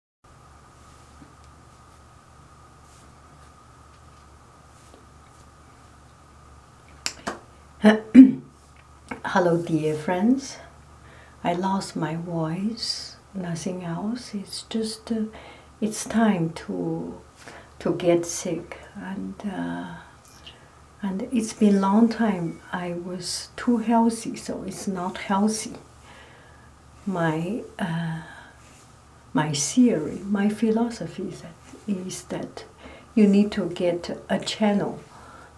Hello, dear friends. I lost my voice. Nothing else. It's just uh, it's time to to get sick, and uh, and it's been long time. I was too healthy, so it's not healthy my uh, my theory, my philosophy is that you need to get a channel.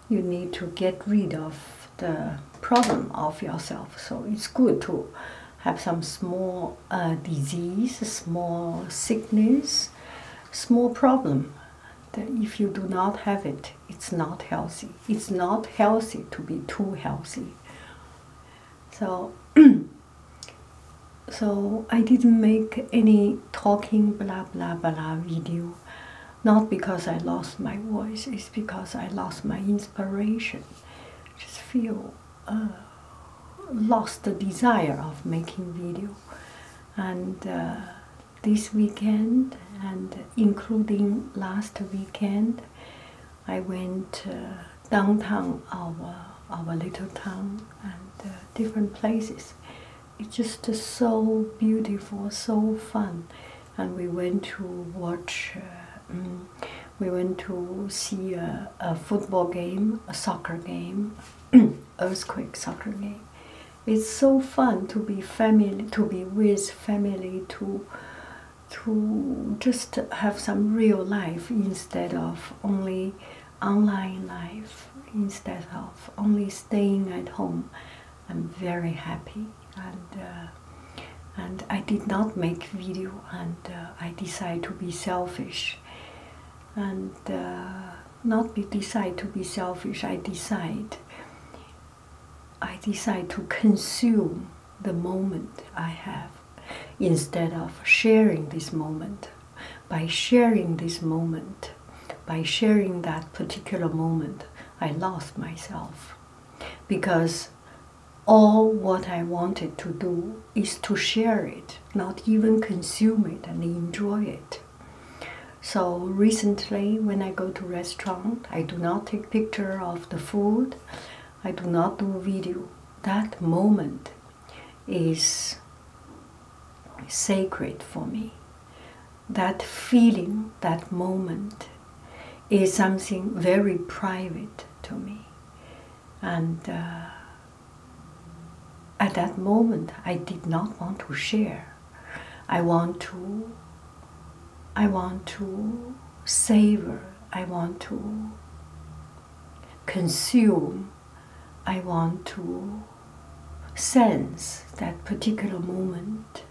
You need to get rid of the problem of yourself. So it's good to have some small uh, disease, small sickness, small problem. That if you do not have it, it's not healthy. It's not healthy to be too healthy. So, so I didn't make any talking blah blah blah video. Not because I lost my voice, it's because I lost my inspiration. Just feel uh, lost the desire of making video, and uh, this weekend and including last weekend, I went uh, downtown our our little town and uh, different places. It's just uh, so beautiful, so fun, and we went to watch. Mm, we went to see a football game, a soccer game, earthquake soccer game. It's so fun to be family, to be with family, to to just have some real life instead of only online life, instead of only staying at home. I'm very happy and uh, and I did not make video and uh, I decide to be selfish and uh, not be decide to be selfish I decide I decide to consume the moment I have instead of sharing this moment. By sharing this moment, by sharing that particular moment, I lost myself because all what I wanted to do is to share it, not even consume it and enjoy it. So recently, when I go to restaurant, I do not take picture of the food. I do not do video. That moment is sacred for me. That feeling, that moment is something very private to me. And uh, at that moment, I did not want to share. I want to I want to savor, I want to consume, I want to sense that particular moment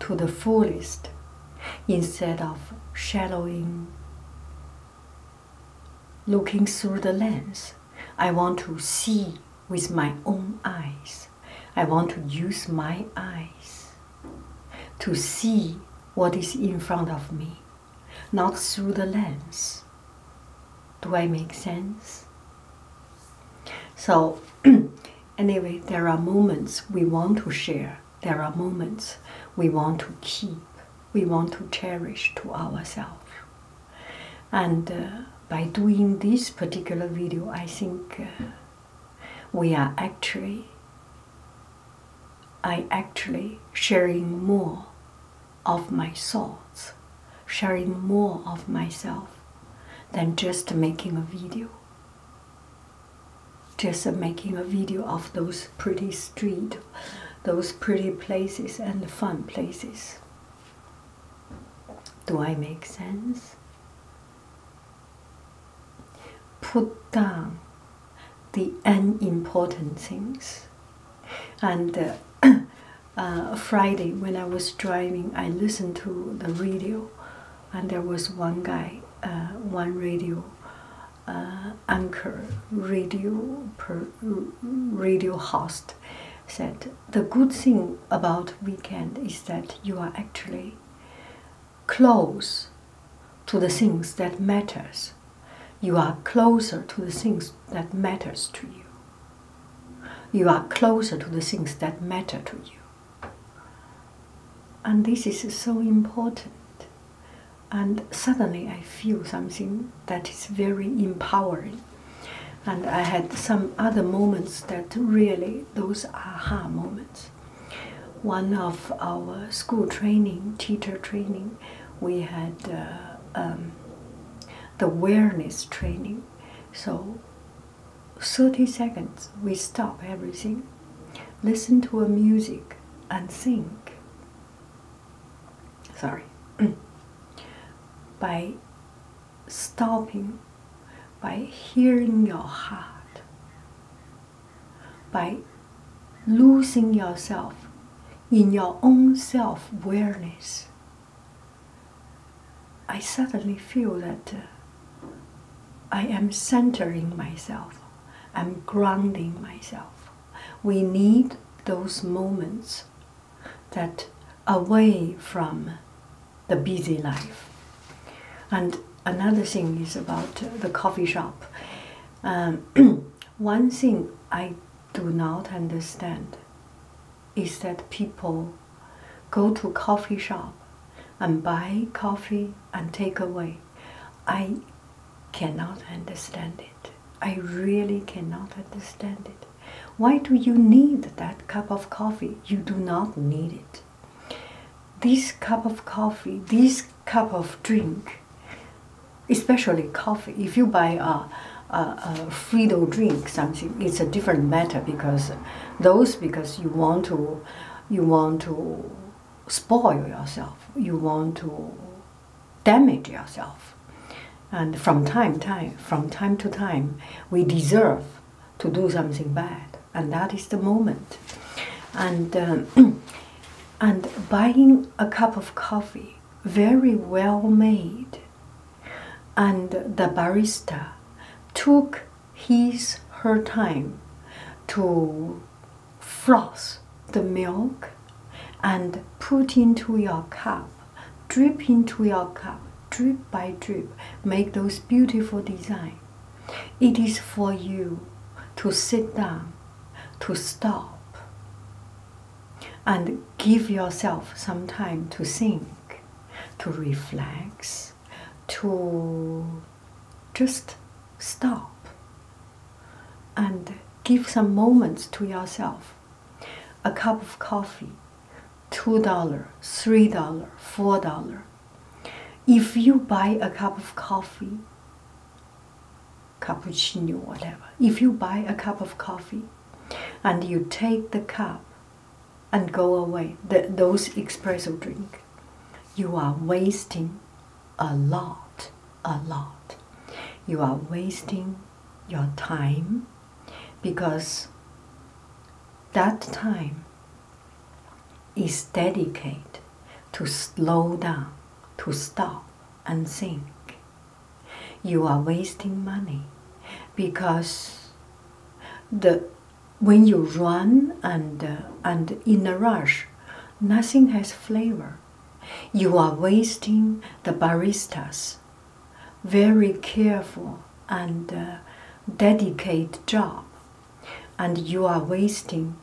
to the fullest instead of shadowing, looking through the lens. I want to see with my own eyes. I want to use my eyes to see what is in front of me, not through the lens. Do I make sense? So, anyway, there are moments we want to share, there are moments we want to keep, we want to cherish to ourselves. And uh, by doing this particular video, I think. Uh, we are actually I actually sharing more of my thoughts, sharing more of myself than just making a video. Just making a video of those pretty street, those pretty places and fun places. Do I make sense? Put down the unimportant things. And uh, uh, Friday, when I was driving, I listened to the radio, and there was one guy, uh, one radio anchor, radio radio host, said the good thing about weekend is that you are actually close to the things that matters you are closer to the things that matters to you you are closer to the things that matter to you and this is so important and suddenly i feel something that is very empowering and i had some other moments that really by those aha moments. One of our school training, teacher training, we had uh, um, the awareness training. So, 30 seconds, we stop everything, listen to a music, and sing. Sorry. by stopping by hearing your heart, by losing yourself in your own self awareness. I suddenly feel that uh, I am centering myself, I'm grounding myself. We need those moments that away from the busy life. And another thing is about the coffee shop. Um, one thing I do not understand is that people go to coffee shop and buy coffee and take away. I cannot understand it. I really cannot understand it. Why do you need that cup of coffee? You do not need it. This cup of coffee, this cup of drink, especially coffee, if you buy a, free a drink, something, it's a different matter because those because you want to, you want to spoil yourself, you want to damage yourself. And from time, time, from time to time, we deserve to do something bad, and that is the moment. And um, and buying a cup of coffee, very well made, and the barista took his her time to froth the milk and put into your cup drip into your cup drip by drip make those beautiful designs it is for you to sit down to stop and give yourself some time to think to reflect to just stop and give some moments to yourself a cup of coffee $2, $3, $4. If you buy a cup of coffee, cappuccino, whatever, if you buy a cup of coffee and you take the cup and go away, that those espresso drink, you are wasting a lot, a lot. You are wasting your time because that time is dedicated to slow down, to stop and think. You are wasting money because the when you run and and in a rush, nothing has flavor. You are wasting the barista's very careful and uh, dedicated job, and you are wasting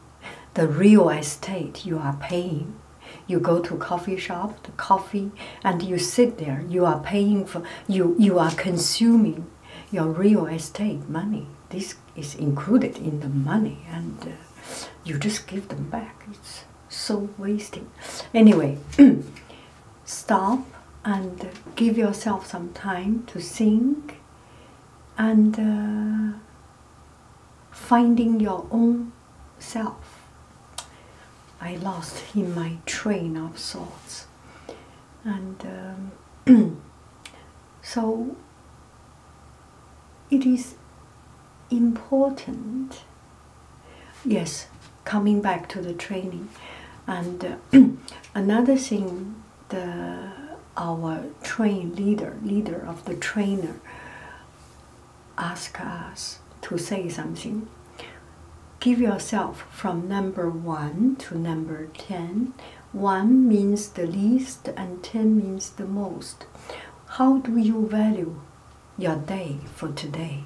the real estate you are paying. You go to coffee shop, the coffee, and you sit there. You are paying for you. You are consuming your real estate money. This is included in the money, and uh, you just give them back. It's so wasting. Anyway, stop and give yourself some time to think and uh, finding your own self. I lost in my train of thoughts. And um, so it is important, yes, coming back to the training and uh, another thing the our train leader leader of the trainer asked us to say something give yourself from number 1 to number 10 1 means the least and 10 means the most how do you value your day for today.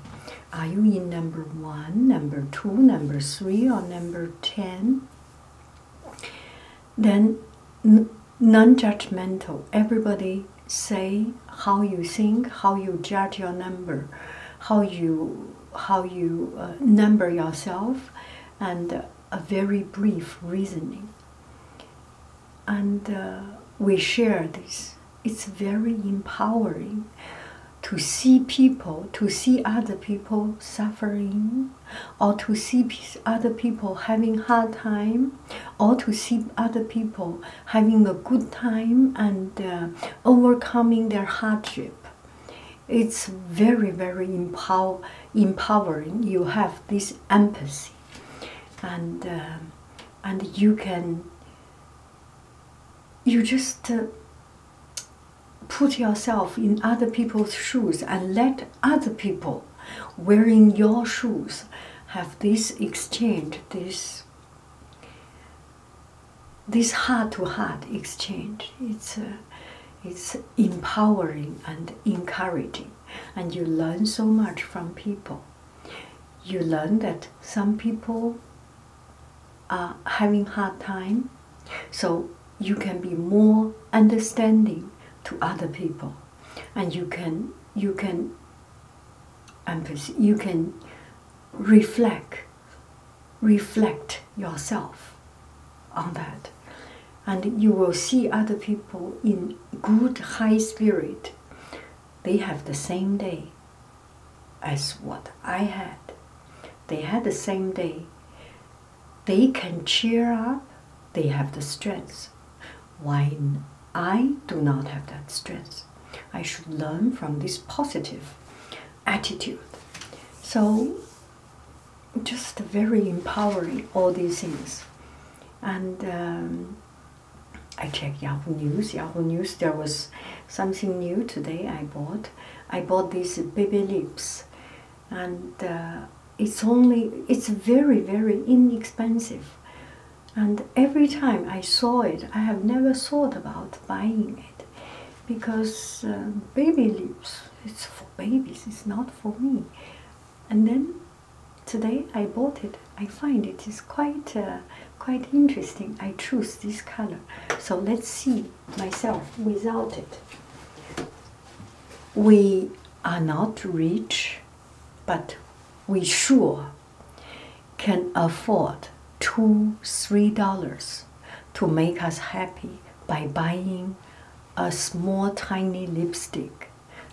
Are you in number one, number two, number three, or number ten? Then non-judgmental. Everybody say how you think, how you judge your number, how you how you uh, number yourself, and a very brief reasoning. And uh, we share this it's very empowering to see people, to see other people suffering, or to see other people having hard time, or to see other people having a good time and uh, overcoming their hardship. It's very, very empower empowering. You have this empathy, and uh, and you can you just uh, put yourself in other people's shoes and let other people wearing your shoes have this exchange, this this heart-to-heart exchange. It's uh, it's empowering and encouraging, and you learn so much from people. You learn that some people are uh, having hard time so you can be more understanding to other people and you can you can you can reflect reflect yourself on that and you will see other people in good high spirit they have the same day as what I had. They had the same day. They can cheer up, they have the strength. Why I do not have that strength? I should learn from this positive attitude. So, just very empowering, all these things. And um, I check Yahoo News. Yahoo News, there was something new today I bought. I bought these baby lips, and uh, it's only, it's very, very inexpensive. And every time I saw it, I have never thought about buying it because uh, baby lips, it's for babies, it's not for me. And then today I bought it I find it is quite uh, quite interesting. I choose this color. So let's see myself without it. We are not rich, but we sure can afford two, three dollars to make us happy by buying a small tiny lipstick.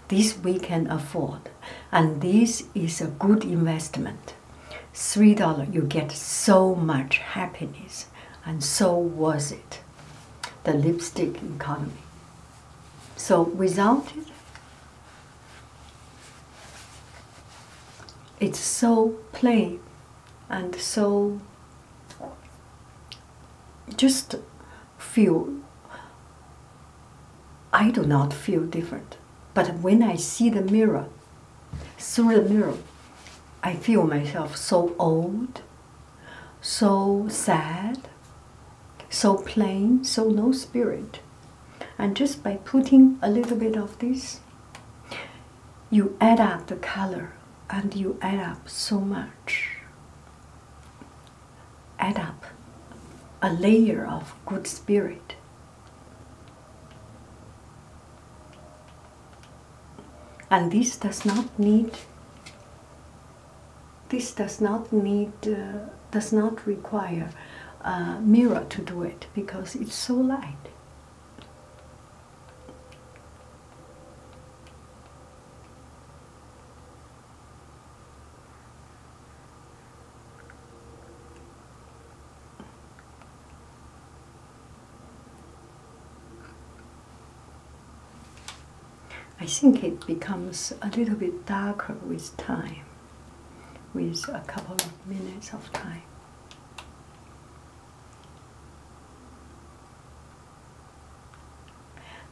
This we can afford, and this is a good investment three dollar you get so much happiness and so was it the lipstick economy so without it it's so plain and so just feel I do not feel different. But when I see the mirror, through the mirror, I feel myself so old, so sad, so plain, so no spirit. And just by putting a little bit of this, you add up the color and you add up so much add up a layer of good spirit. And this does not need this does not need uh, does not require a mirror to do it because it's so light. I think it becomes a little bit darker with time, with a couple of minutes of time.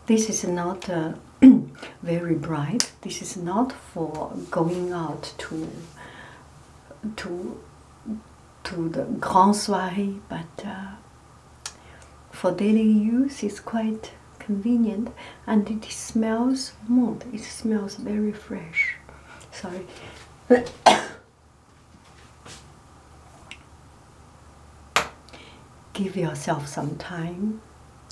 This is not very bright, this is not for going out to to to the grand soirée, but uh, for daily use, it's quite convenient, and it smells good. It smells very fresh. Sorry. Give yourself some time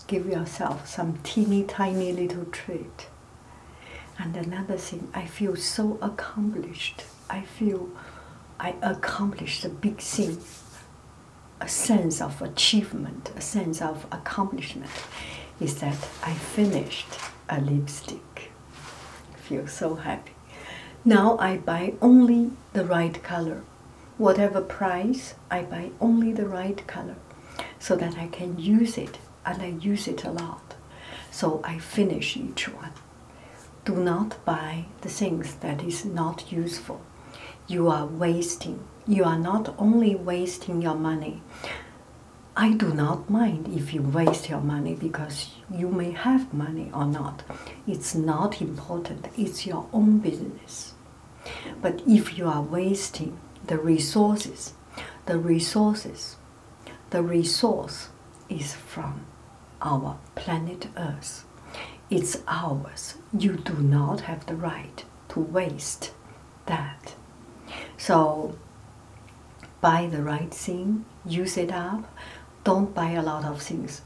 give yourself some teeny tiny little treat. And another thing, I feel so accomplished. I feel I accomplished a big thing, a sense of achievement, a sense of accomplishment is that I finished a lipstick. I feel so happy. Now I buy only the right color whatever price I buy only the right color so that I can use it and I use it a lot so I finish each one do not buy the things that is not useful you are wasting you are not only wasting your money I do not mind if you waste your money because you may have money or not. It's not important. It's your own business. But if you are wasting the resources, the resources, the resource is from our planet Earth. It's ours. You do not have the right to waste that. So buy the right thing, use it up. Don't buy a lot of things.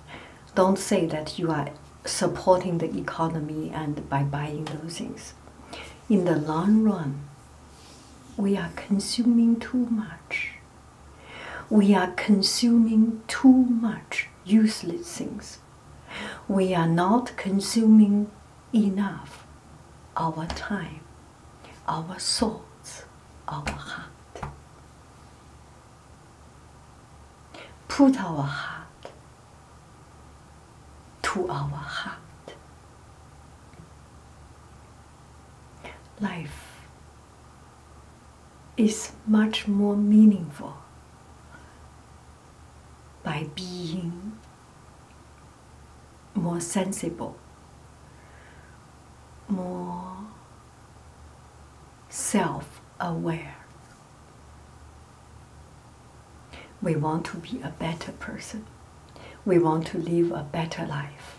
Don't say that you are supporting the economy and by buying those things. In the long run, we are consuming too much. We are consuming too much useless things. We are not consuming enough our time, our thoughts, our heart. Put our heart to our heart. Life is much more meaningful by being more sensible, more self aware. We want to be a better person. We want to live a better life.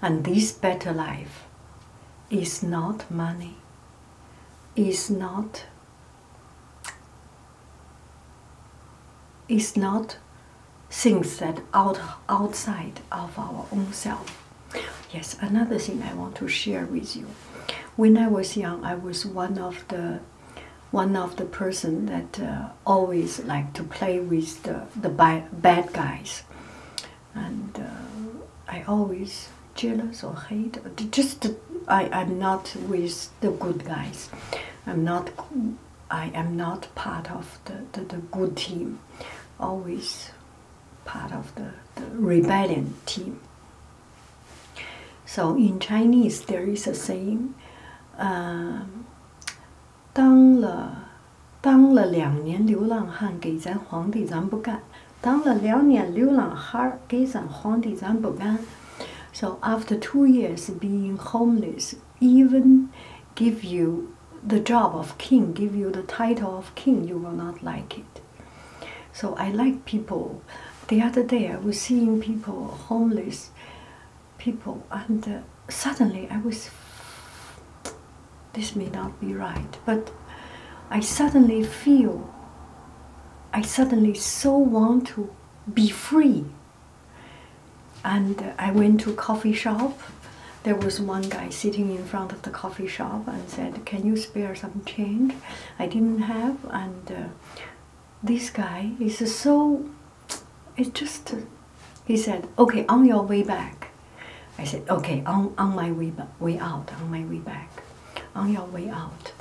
And this better life is not money, is not is not things that out outside of our own self. Yes, another thing I want to share with you when I was young, I was one of the one of the person that uh, always like to play with the the bad guys, and uh, I always jealous or hate. Uh, just I I'm not with the good guys. I'm not I am not part of the, the, the good team. Always part of the, the rebellion team. So in Chinese, there is a saying, uh, um, 当了当了两年流浪汉，给咱皇帝咱不干；当了两年流浪汉，给咱皇帝咱不干。So after two years being homeless, even give you the job of king, give you the title of king, you will not like it. So I like people. The other day I was seeing people, homeless people, and uh, suddenly I was. This may not be right, but I suddenly feel. I suddenly so want to be free. And uh, I went to a coffee shop. There was one guy sitting in front of the coffee shop and said, "Can you spare some change?" I didn't have, and uh, this guy is so. It just. Uh, he said, "Okay, on your way back." I said, "Okay, on on my way way out, on my way back, on your way out."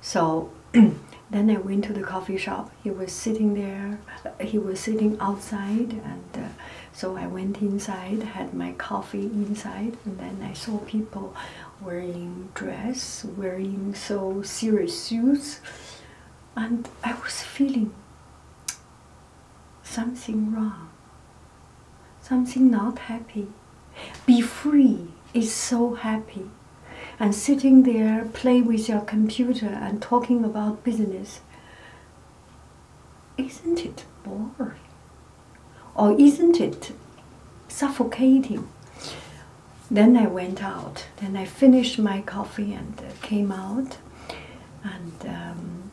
So then I went to the coffee shop. He was sitting there. Uh, he was sitting outside, and so I went inside, had my coffee inside, and then I saw people wearing dress, wearing so serious suits, and I was feeling something wrong, something not happy. Be free is so happy, and sitting there, play with your computer and talking about business. Isn't it boring? Or isn't it suffocating? Then I went out. Then I finished my coffee and uh, came out. And um,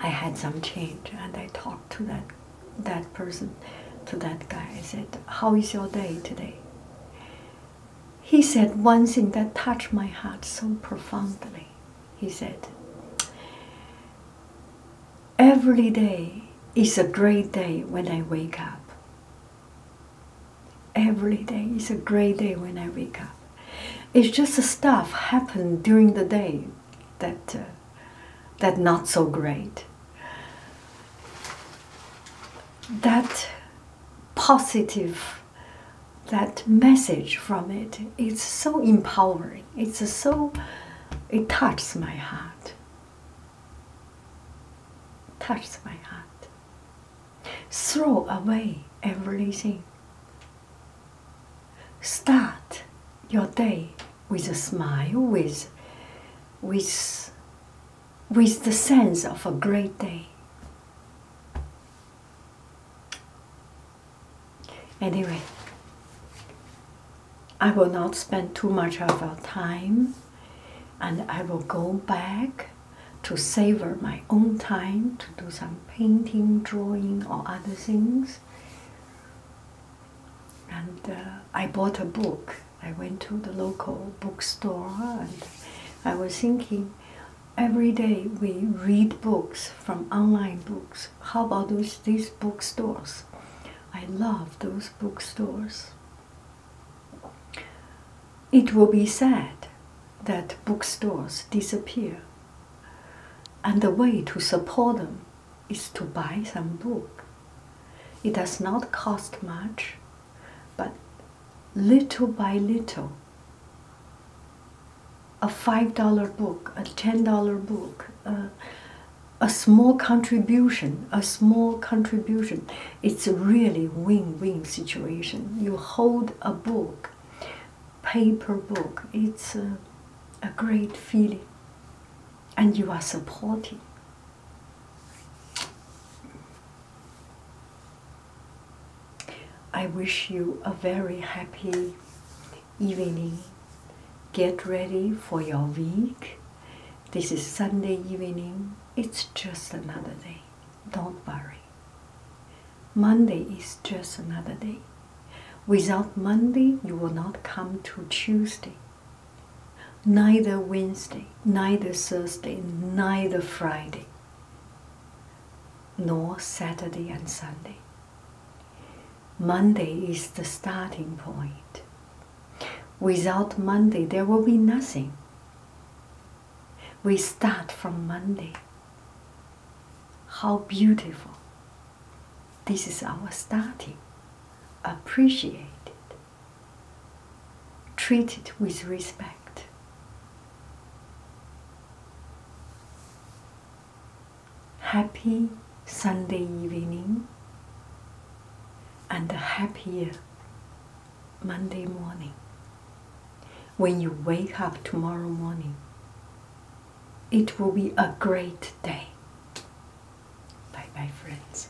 I had some change. And I talked to that, that person, to that guy. I said, How is your day today? He said one thing that touched my heart so profoundly. He said, Every day is a great day when I wake up. Every day is a great day when I wake up. It's just the stuff happened during the day that uh, that not so great. That positive, that message from it, it's so empowering. It's so, it touches my heart. Touches my heart. Throw away everything. Start your day with a smile, with, with, with the sense of a great day. Anyway, I will not spend too much of our time and I will go back to savor my own time to do some painting, drawing, or other things. And uh, I bought a book. I went to the local bookstore and I was thinking every day we read books from online books how about those, these bookstores? I love those bookstores. It will be sad that bookstores disappear, and the way to support them is to buy some book. It does not cost much, but little by little, a $5 book, a $10 book, uh, a small contribution, a small contribution. It's a really win-win situation. You hold a book, paper book, it's a great feeling. And you are supporting. I wish you a very happy evening. Get ready for your week. This is Sunday evening. It's just another day. Don't worry. Monday is just another day. Without Monday, you will not come to Tuesday. Neither Wednesday, neither Thursday, neither Friday, nor Saturday and Sunday. Monday is the starting point. Without Monday, there will be nothing. We start from Monday. How beautiful. This is our starting. Appreciate it. Treat it with respect happy Sunday evening and a happier Monday morning. When you wake up tomorrow morning, it will be a great day. Bye bye, friends.